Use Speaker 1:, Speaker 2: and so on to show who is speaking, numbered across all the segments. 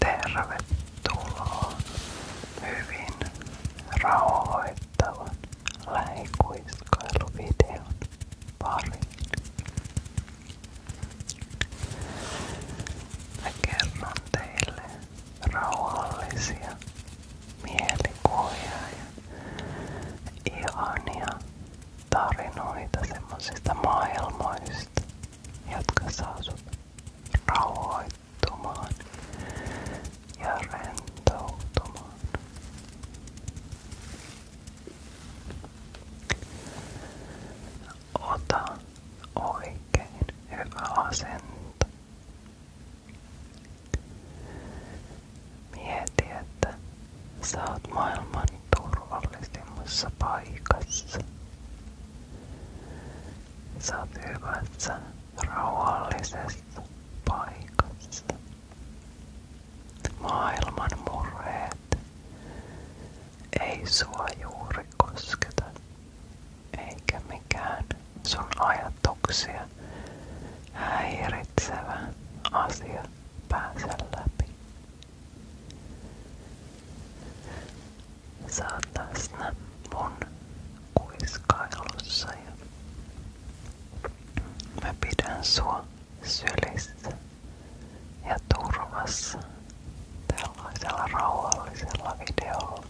Speaker 1: Tervetuloa hyvin rauhoittavan lähikuiskailuvideon pariin. Mä rauhallisia mielikuvia ja ihania tarinoita semmosista maailmoista jotka saa rauhoittumaan ja rentoutumaan. Ota oikein hyvä asento. Mieti, että maailman turvallisimmassa paikassa. Sä oot hyvässä, rauhallisessa paikassa. Maailman murheet ei sua juuri kosketa, eikä mikään sun ajatuksia häiritsevä asia pääse läpi. Sä oot läsnä mun kuiskailussa ja mä pidän sua sylissä ja turvassa tällaisella rauhallisella videolla.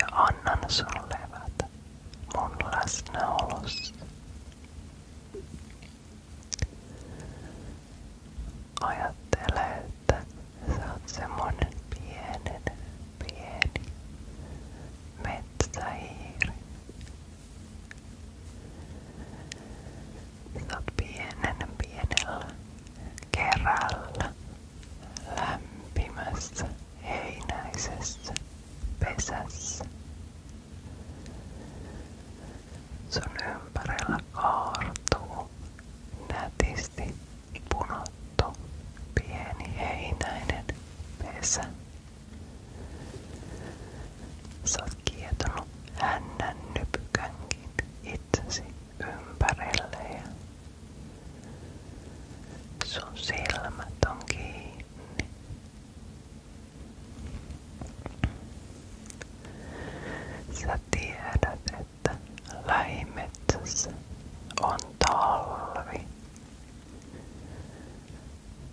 Speaker 1: Ja annan sun levätä mun läsnäolossa. Ajattele, että sä oot semmonen pienen, pieni metsähiiri. Sä oot pienen, pienellä kerällä lämpimässä, heinäisessä pesässä. Sun ympärillä kaartuu nätisti punottu pieni heinäinen pesä. Sä oot kietonut hännän nypykänkin itsesi ympärille ja sun silmät on kiinni. Sä tiedät, että lähimetsässä on talvi.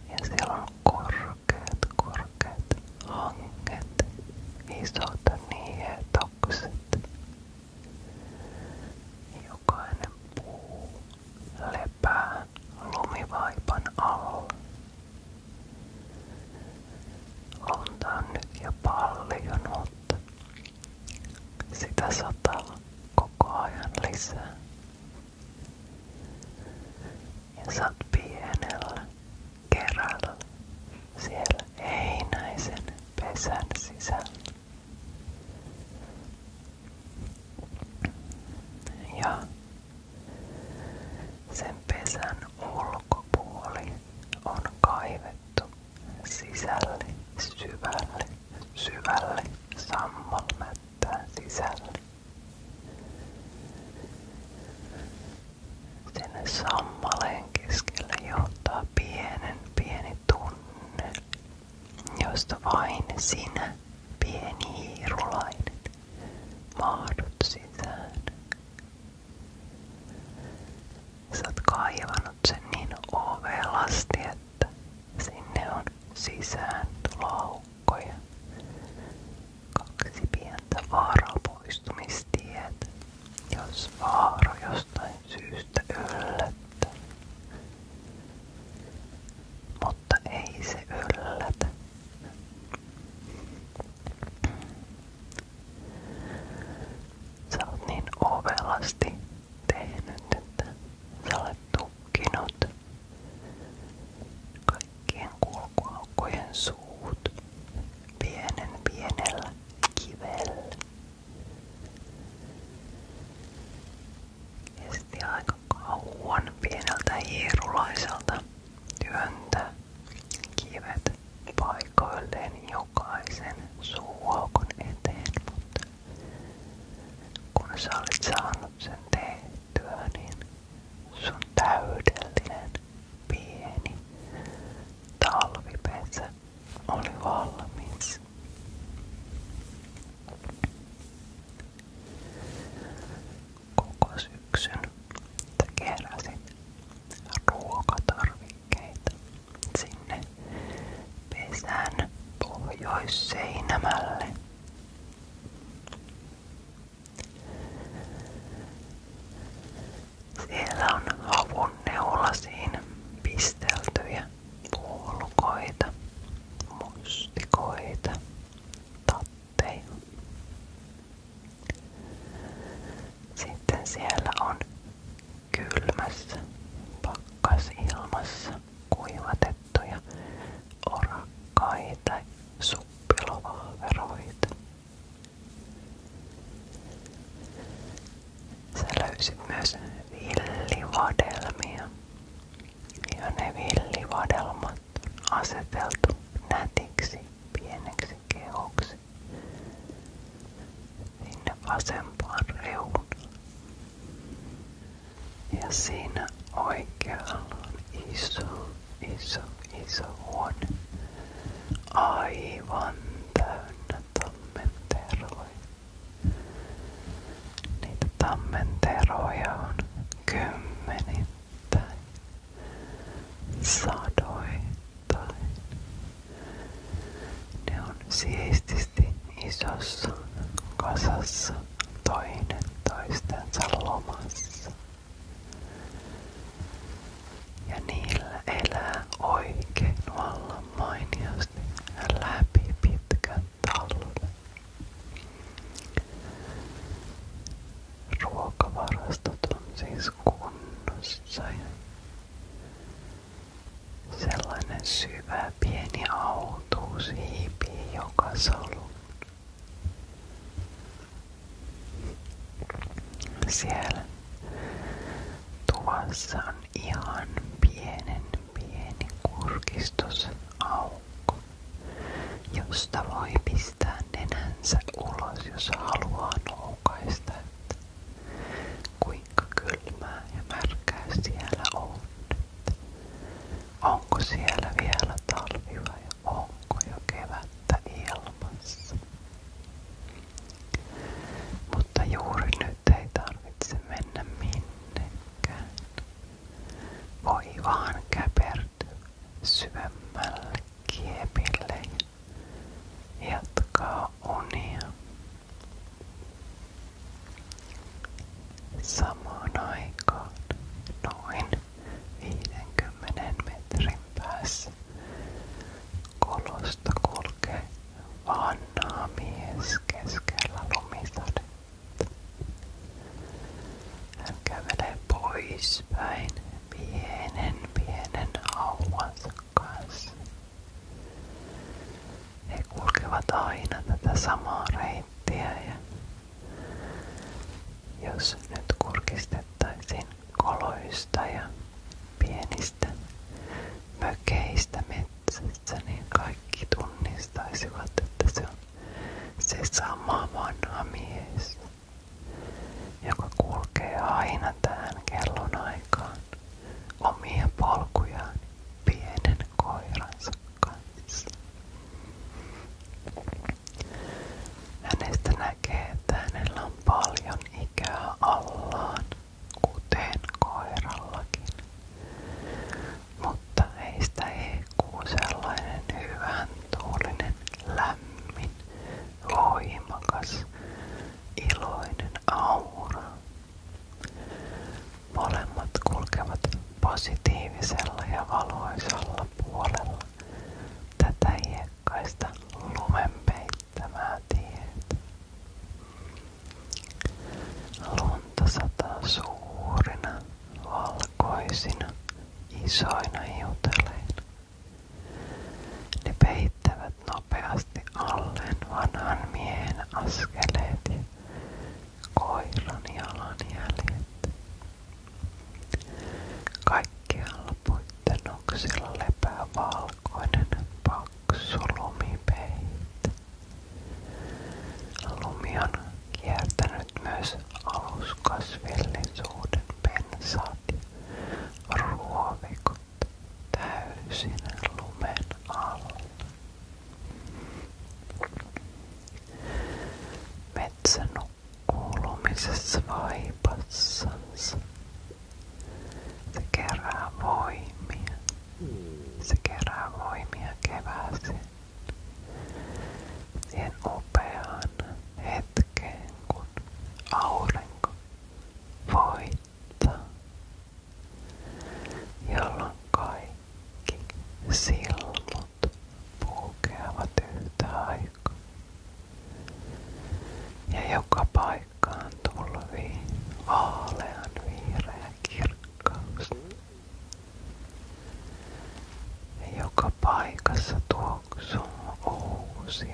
Speaker 1: Ja siellä on korkeat, korkeat hanget, isot nietokset. Jokainen puu lepää lumivaipan alla. Ontaan nyt jo paljon, sitä sataa koko ajan lisää. Ja sä pienellä kerällä siellä heinäisen pesän sisällä. Ja sen pesän ulkopuoli on kaivettu sisälle, syvälle, syvälle, sammalmättään sisälle. Sinne sammaleen keskelle johtaa pienen pieni tunneli, josta vain sinä, pieni hiirulainen, mahdut sisään Sä oot kaivanut sen niin ovelasti, että sinne on sisään laukkoja. Kaksi pientä vaarapoistumistietä, jos vaara jostain syystä yllättää. Mutta ei se yllätä, Sä niin ovelasti tehnyt, että sä olet tukkinut pienen pienellä kivellä. Kesti aika kauan pieneltä hierulaiselta työntää kivet paikoilleen jokaisen suuaukon eteen, kun sä olet sen tehtyä, niin sun täydellinen pieni talvipesä oli valmis. Koko syksyn keräsin ruokatarvikkeita sinne pesän pohjoisseinämälle. Siellä on havun neulasiin pisteltyjä puolukoita, mustikoita, tatteja, sitten siellä on kylmässä, pakkasilmassa kuivatettuja orakkaita suppilovahveroita. Sä löysit myös villivadelmia ja ne villivadelmat aseteltu nätiksi pieneksi kehoksi sinne vasempaan reunaan. Ja siinä oikealla on iso, iso, iso huone. Aivan täynnä tammenteroja. Niitä tammenteroja on kymmenittäin sadoittain. Ne on siististi isossa kasassa toinen toistensa lomassa. Ja niillä elää oikein vallan mainiosti läpi pitkän talven ruokavarastot on siis kunnossa. Sellainen syvä pieni autuus hiipii joka solun. Siellä tuvassa on ihan pienen pieni kurkistus aukko, josta voi pistää pistää nenänsä ulos, jos haluaa noukaista, kuinka kylmää ja märkää on. onko siellä vielä talvi vai onko jo kevättä ilmassa? Mutta juuri nyt ei tarvitse mennä minnekään. Voi vaan käpertyä syvemmälle kiepille jatkaa unia. Samaan 50 metrin päässä kolosta kulkee keskellä lumisadetta. Hän kävelee poispäin pienen pienen hauansa He kulkevat aina tätä samaa reittiä ja jos nyt kurkistettaisiin koloista ja pienistä mökeistä metsässä, niin kaikki tunnistaisivat, että se on sama vanha mies joka kulkee aina tähän kellonaikaan omia polkujaan pienen koiransa kanssa. Hänestä näkee, että hänellä on paljon ikää allaan, kuten koirallakin. Mutta heistä ei sellainen hyvän tuulinen, lämmin voimakas, iloinen aura. Molemmat kulkevat positiivisella ja valoisalla puolella tätä iekkaista lumen peittämää tietä. Lunta sataa suurina, valkoisina, isoina hiutaleina. Ne peittävät nopeasti alleen vanhan miehen askeleet ja koiran jalanjäljet. Kaikkialla lepää valkoinen paksu lumipeite. Lumi on kiertänyt myös aluskasvillisuuden pensaat ja ruoviko täysin lumen alla. Metsä nukkuu lumisessa vaipassansa. Se kerää voimia. Se kerää voimia kevääseen. Siihen upeaan hetkeen, kun aurinko voittaa, jolloin kaikki silmut puukeavat yhtä aikaa ja joka paikkaan tulvii vaalean vihreä kirkkaus. joka paikassa tuoksuu uusi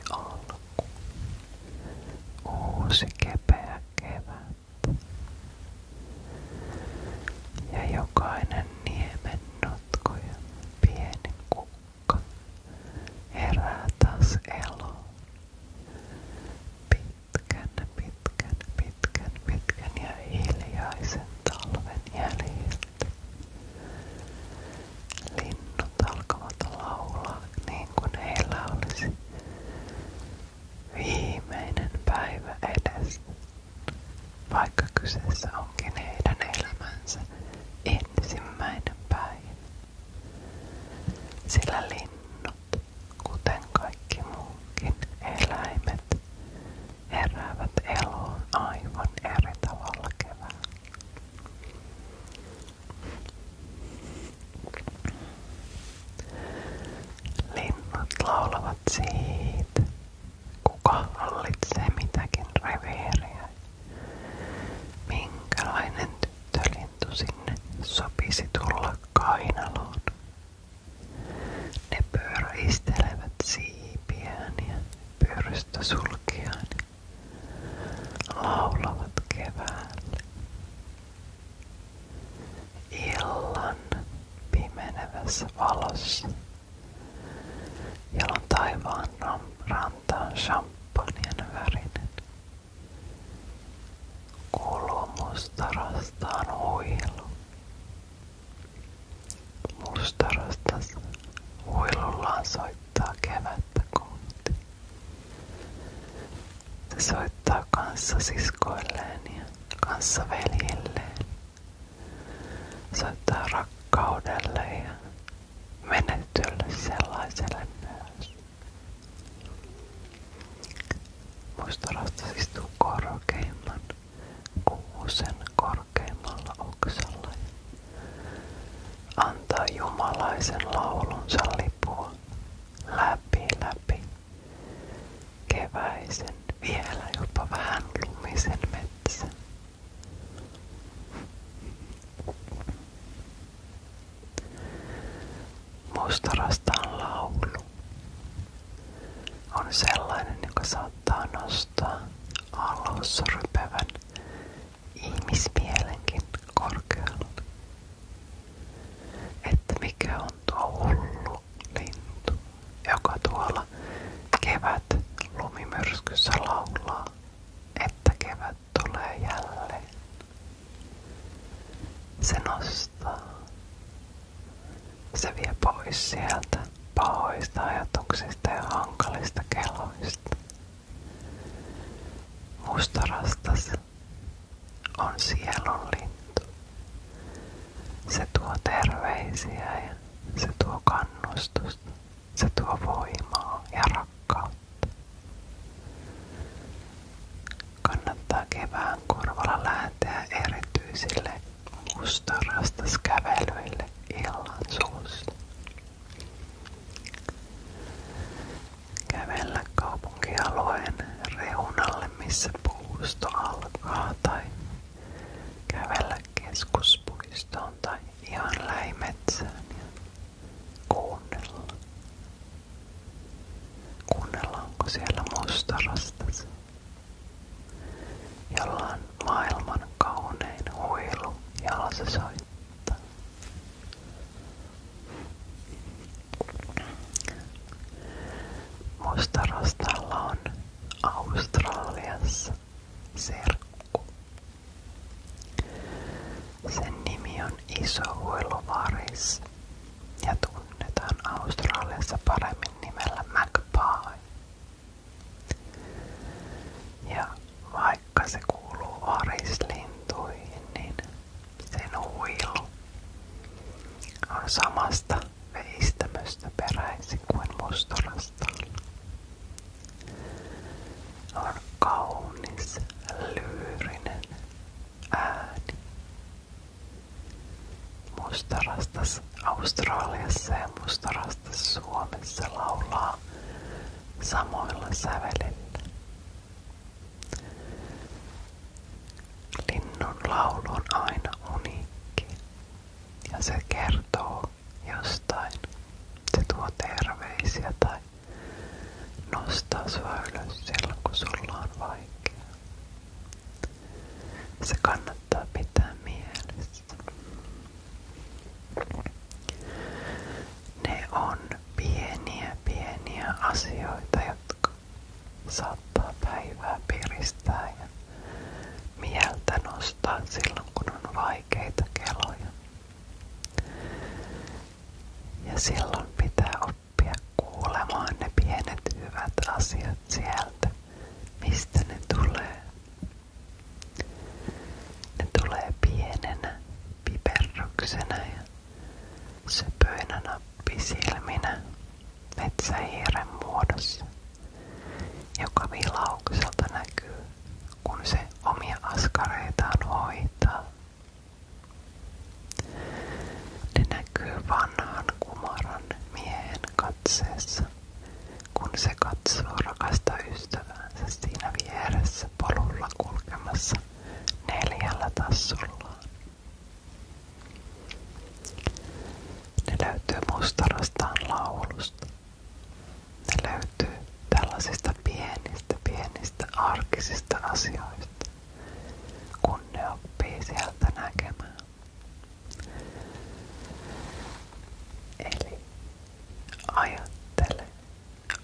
Speaker 1: uusi kepeä kevät. Ja jokainen niemen notku ja pieni kukka herää taas eloon. Pitkän, pitkän, pitkän, pitkän ja hiljaisen talven jäljiltä linnut alkavat laulaa niin kuin heillä olisi viimeinen päivä edes, vaikka kyseessä onkin heidän elämänsä ensimmäinen päivä. Sillä linnut, kuten kaikki muunkin eläimet, heräävät eloon aivan eri tavalla keväällä. Linnut laulavat siitä, kuka hallitsee mitäkin Minkälainen tyttölintu sinne sopisi tulla kainaloon? Ne pyöräistelevät siipiään ja pyöristä laulavat keväälle. Illan pimenevässä valossa, jolloin taivaan ranta on champagnen värinen. huilu. Mustarastas huilullaan soittaa kevättä kohti. Se soittaa kanssasiskoilleen ja kanssaveljilleen. Soittaa rakkaudelle ja menetylle sellaiselle myös. Muistorasta istuu korkeimman kuusen korkeimmalla oksalla Antaa jumalaisen laulunsa lipua läpi läpi keväisen, vielä jopa vähän lumisen metsän. Mustarastaan laulu on sellainen, joka saattaa nostaa alussa rypevän ihmismielenkin korkeudella. Että mikä on tuo hullu lintu, joka tuolla kevät lumimyrskyssä laulaa, että kevät tulee jälleen. Se nostaa. Se vie pois sieltä pahoista ajatuksista ja hankalista keloista. Mustarastas on sielunlintu. Se tuo terveisiä ja se tuo kannustusta. Se tuo voimaa ja rakkautta. Kannattaa kevään korvalla lähteä erityisille mustarastaskävelyille illan suussa. Kävellä kaupunkialueen reunalle, missä puusto alkaa, tai kävellä keskuspuistoon tai ihan lähimetsään ja kuunnella. Kuunnellaanko siellä mustarastas, jolla on maailman kaunein huilu, jolla se soittaa. Mustarastalla on Australiassa serkku. Sen nimi on Iso Huiluvaris ja tunnetaan Australiassa paremmin nimellä Magpie. Ja vaikka se kuuluu varislintuihin, niin sen huilu on samasta veistämöstä peräisin kuin mustalasta. On kaunis, lyyrinen ääni. Mustarastas Australiassa ja mustarastas Suomessa laulaa samoilla sävelillä. Linnun laulu aina uniikki ja se kertoo jostain. Se tuo terveisiä tai nostaa sua ylös silloin kun on vaikeaa. Se kannattaa pitää mielessä. Ne on pieniä pieniä asioita, jotka saattaa päivää piristää ja mieltä nostaa silloin, kun on vaikeita keloja. Ja silloin pitää oppia kuulemaan ne pienet hyvät asiat sieltä, mistä ne tulee. Ne tulee pienenä piperryksenä ja Söpöinä nappisilminä metsähiiren muodossa, joka vilaukselta näkyy, kun se omia askareitaan hoitaa. näkyy vanhan kumaran miehen katseessa, kun se katsoo rakasta ystäväänsä siinä vieressä polulla kulkemassa neljällä tassullaan. Ne löytyy mustarastaan laulusta. Ne löytyy tällaisista pienistä, pienistä arkisista asioista, kun ne oppii sieltä näkemään. Eli ajattele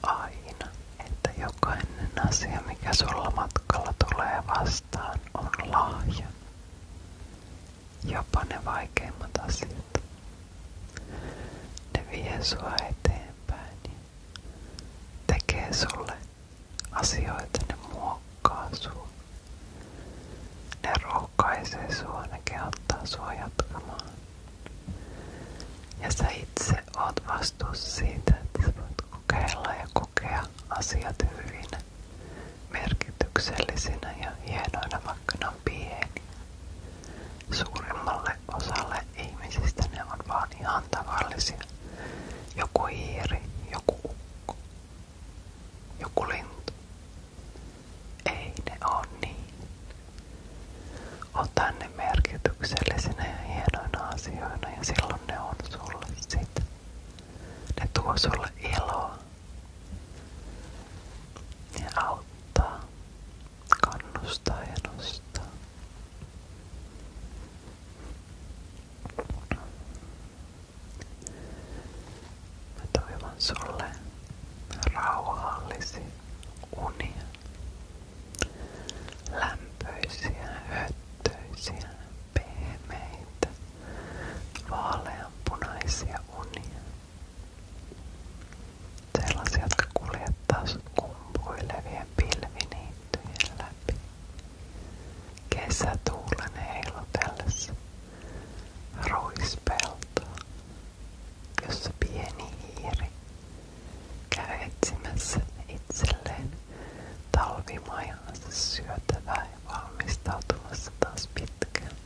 Speaker 1: aina, että jokainen asia, mikä sulla matkalla tulee vastaan, on lahja. Jopa ne vaikeimmat asiat. Ne vie eteenpäin ja sulle asioita, ne muokkaa Ne rohkaisee sua, ne kehottaa sua jatkamaan. Ja sä itse oot vastuussa siitä, että sä voit kokeilla ja kokea asiat hyvin merkityksellisinä ja hienoina, vaikka ne on pieni. Suurimmalle osalle ihmisistä ne on vaan ihan tavallisia. Joku hiiri, joku ukko, joku lintu. Ei ne on niin. Ota ne merkityksellisinä ja hienoina asioina ja silloin ne on sulle sitä. Ne tuo sulle iloa. Ne auttaa, kannustaa ja nostaa. Mä toivon sulle rauhallisia unia lämpöisiä, höttöisiä, pehmeitä, vaaleanpunaisia unia. Sellaisia, jotka kuljettaa sut kumpuilevien pilviniittyjen läpi. Kesätuulen heilotellessa ruispeltoa, jossa pieni hiiri käy etsimässä itselleen talvimaihansa syötävää ja valmistautumassa taas pitkältä.